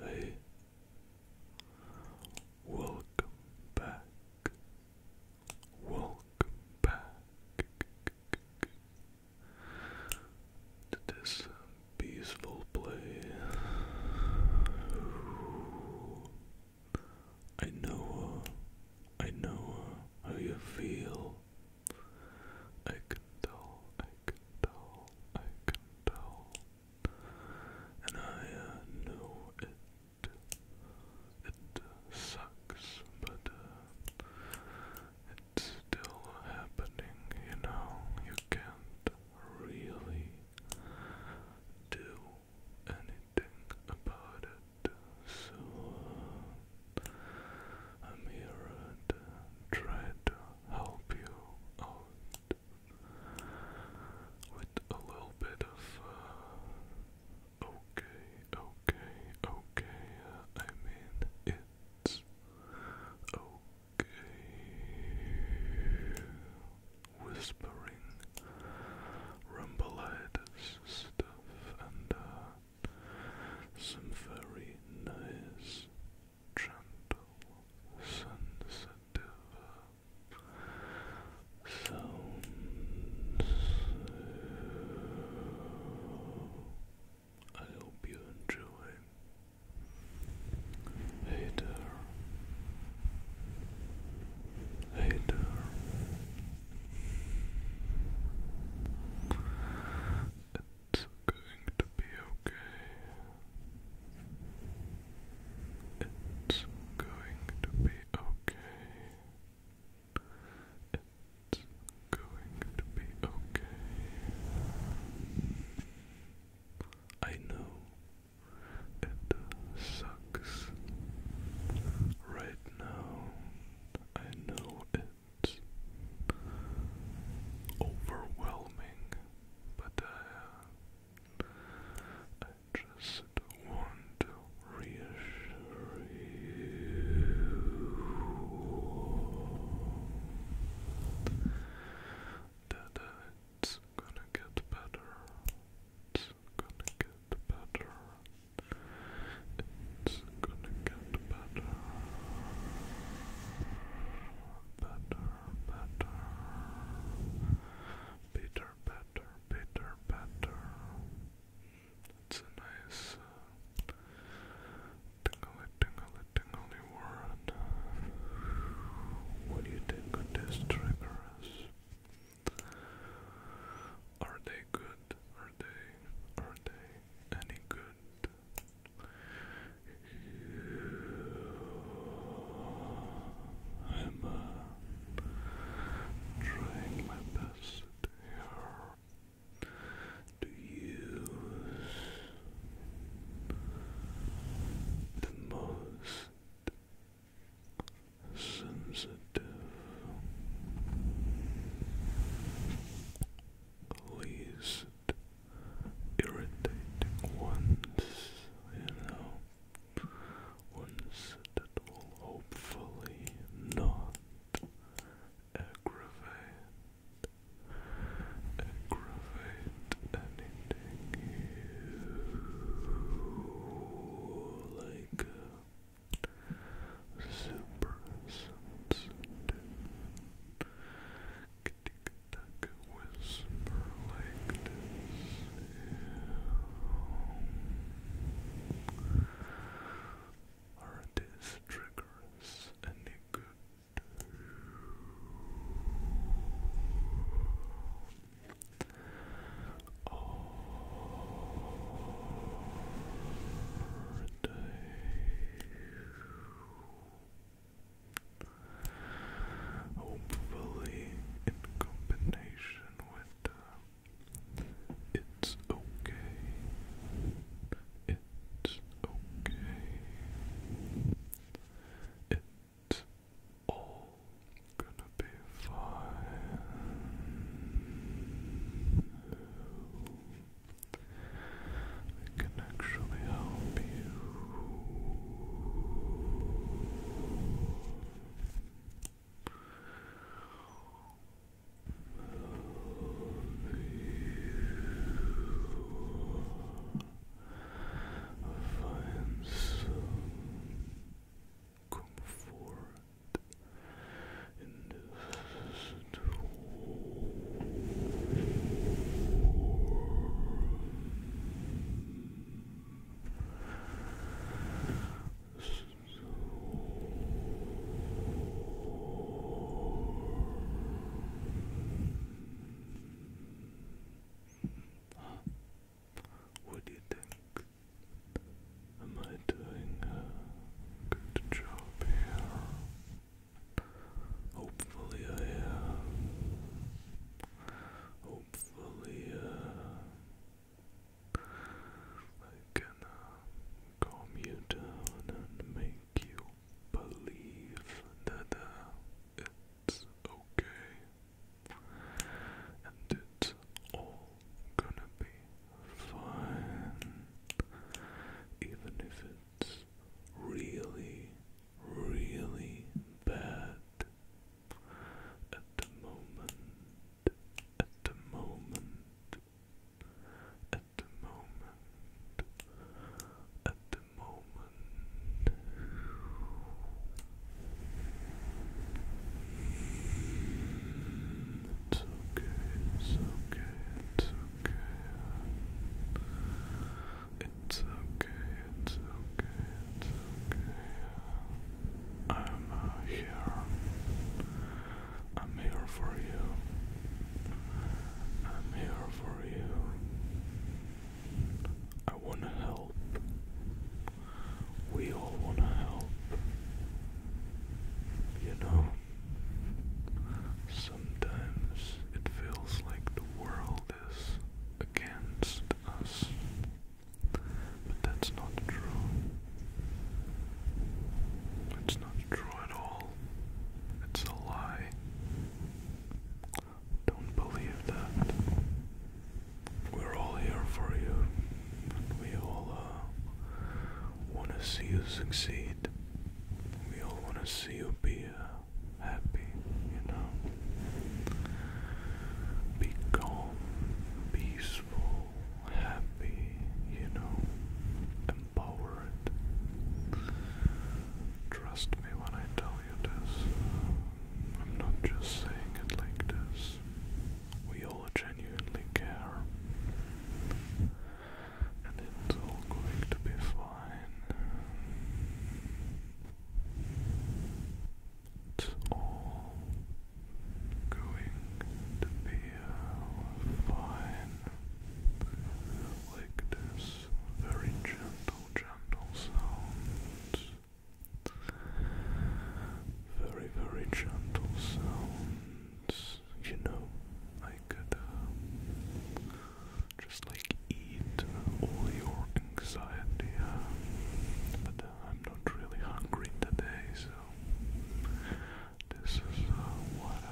Hey, welcome back. Welcome back to this peaceful place. I know, uh, I know uh, how you feel. I can tell, can tell, I can tell. And I know it, it sucks, but uh, it's still happening, you know. You can't really do anything about it. So uh, I'm here to uh, try to help you out with a little bit of uh, okay, okay, okay. Uh, I mean, it's okay. Whispering, rumbleitis stuff, and uh, some very nice gentle, sensitive sounds. I hope you enjoy. Hey there. Hey there. It's going to be okay. It's going to be okay. It's going to be okay. I know it sucks right now. I know it overwhelming, but uh, I, just want to reassure you that uh, it's gonna get better. It's gonna get better. It's gonna get better better, better, better, better, better, better. It's a nice uh, tingly, tingly, tingly What do you think of these triggers? Are they good? Are they? Are they any good? I'm trying my best here to use the most sensitive, least irritating ones, you know, ones that will hopefully not aggravate, aggravate anything you like. Uh, super sensitive tick tick Are these triggers any good? Are they Hopefully, in combination with uh, it's okay, it's okay, it's all gonna be fine. I can actually help you. Find comfort in what do you think? Am I doing a good job here? Hopefully I am. Hopefully uh, I can uh, calm you down and make you believe that uh, it's okay and it's all gonna be fine, even if it it's really, really bad at the moment, at the moment, at the moment, at the moment. It's okay, it's okay, it's okay. It's okay, it's okay, it's okay. I'm uh, here. I'm here for you. I'm here for you. I wanna help. We all wanna help. You know? Sometimes it feels like the world is against us, but that's not true. It's not true at all. It's a lie. Don't believe that. We're all here for you. We all uh, want to see you succeed. We all want to see you be uh, happy, you know. Be calm, peaceful, happy, you know, empowered. Trust me when I tell you this. I'm not just saying it like this. We all genuinely care it's all going to be fine. It's all going to be uh, fine. Like this, very gentle, gentle sounds. Very, very gentle sounds you know, I could uh, just like eat all your anxiety, uh, but uh, I'm not really hungry today, so this is what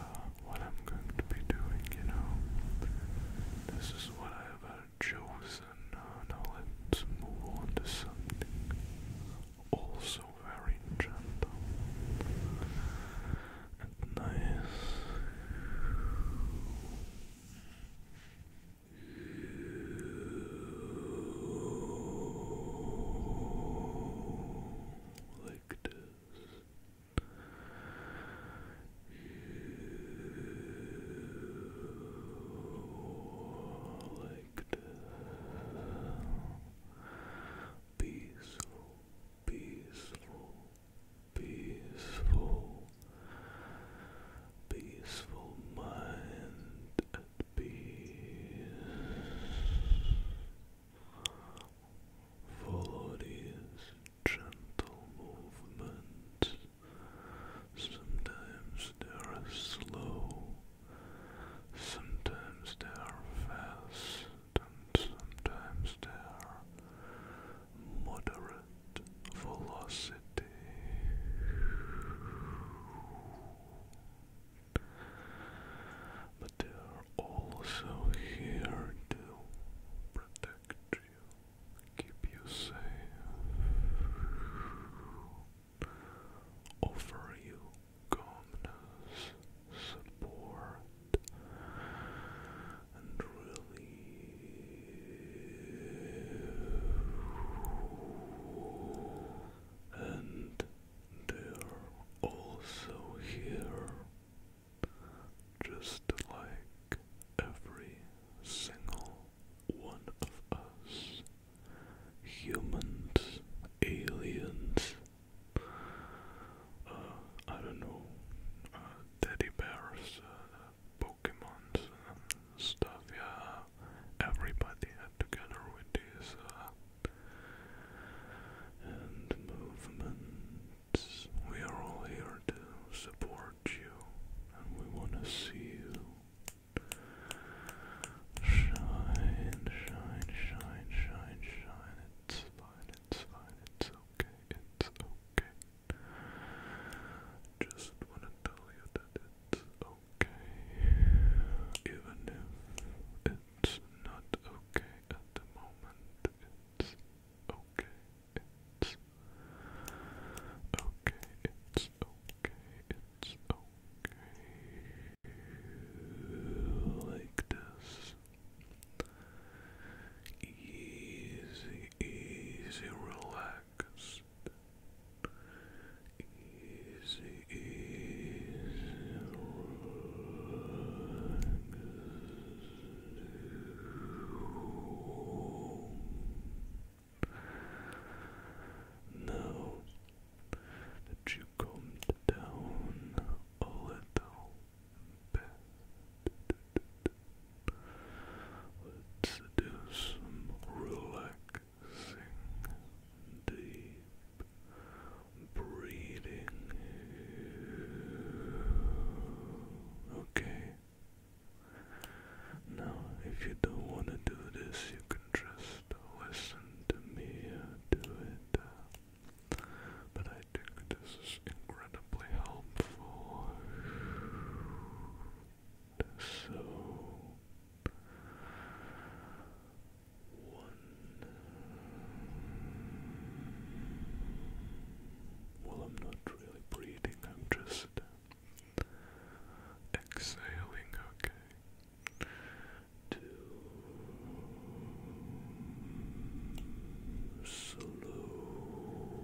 what I'm going to be doing, you know. This is what I've chosen. now let's move on to something also very gentle and nice. Like this. Like this. Peaceful peaceful, peaceful, peaceful mind at peace. Follow these gentle movements. Sometimes they are slow, sometimes they are fast and sometimes their moderate velocity. But they are also here to protect you, keep you safe, offer you calmness, support, and relief. And they're also here, just like every single one of us humans, aliens. Uh, I don't know, uh, teddy bears, uh, um, stuff, yeah, everybody together with this, uh, movements, we are all here to support you, and we want to see you Shine, shine, shine, shine, shine. It's fine, it's fine, it's okay, it's okay. Just wanna tell you that it's okay, even if it's not okay at the moment, it's okay, it's okay, it's okay, it's okay like this. Easy, easy, relaxed. Easy, easy, relaxed. Now that you calmed down a little Let's do some relaxing, deep breathing. Okay. Now, if you don't want to do this, you can just listen to me uh, do it. Uh, but I think this is incredibly helpful. So one Well I'm not really breathing, I'm just exhaling, okay to slow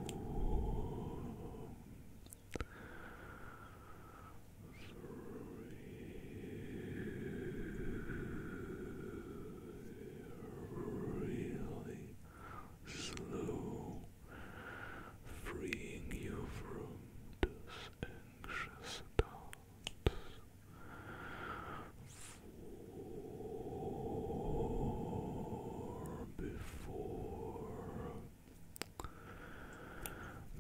three, really slow freeing you from this anxious thought Four before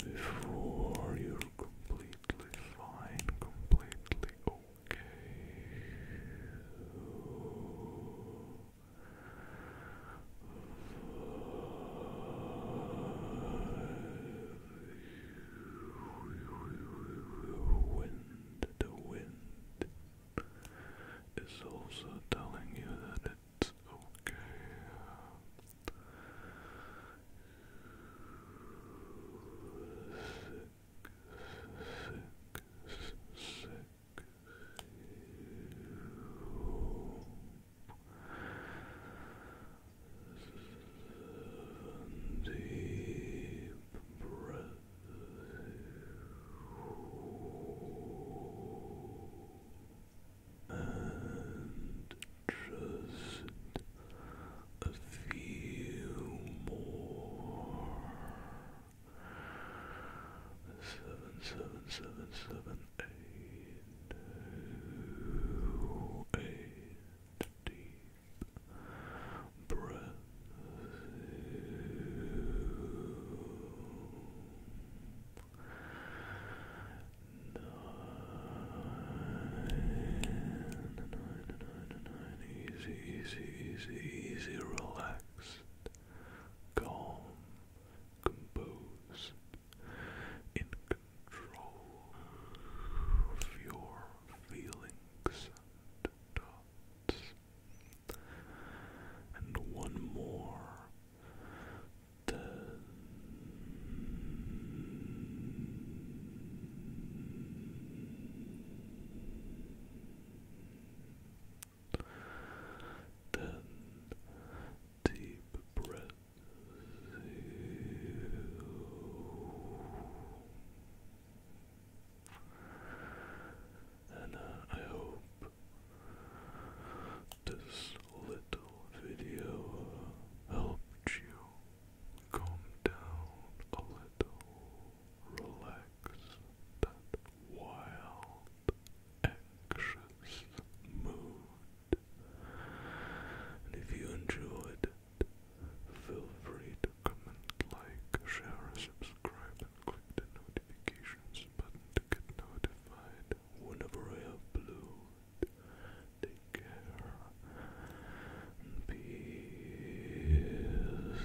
before you're completely fine, completely okay wind, the wind is also telling you that it's okay. You. And deep breath. And just a few more. Seven, seven, seven, seven, eight, eight, deep Brazil. Nine, nine, nine, nine. Easy, easy, easy, easy, relaxed, calm, composed, in control your feelings and thoughts. And one more. Ten. deep breath. And uh, I hope this little video helped you calm down a little, relax that wild, anxious mood and if you enjoyed it, feel free to comment, like, share, subscribe, and click the notifications button to get notified whenever I upload. Take care and peace.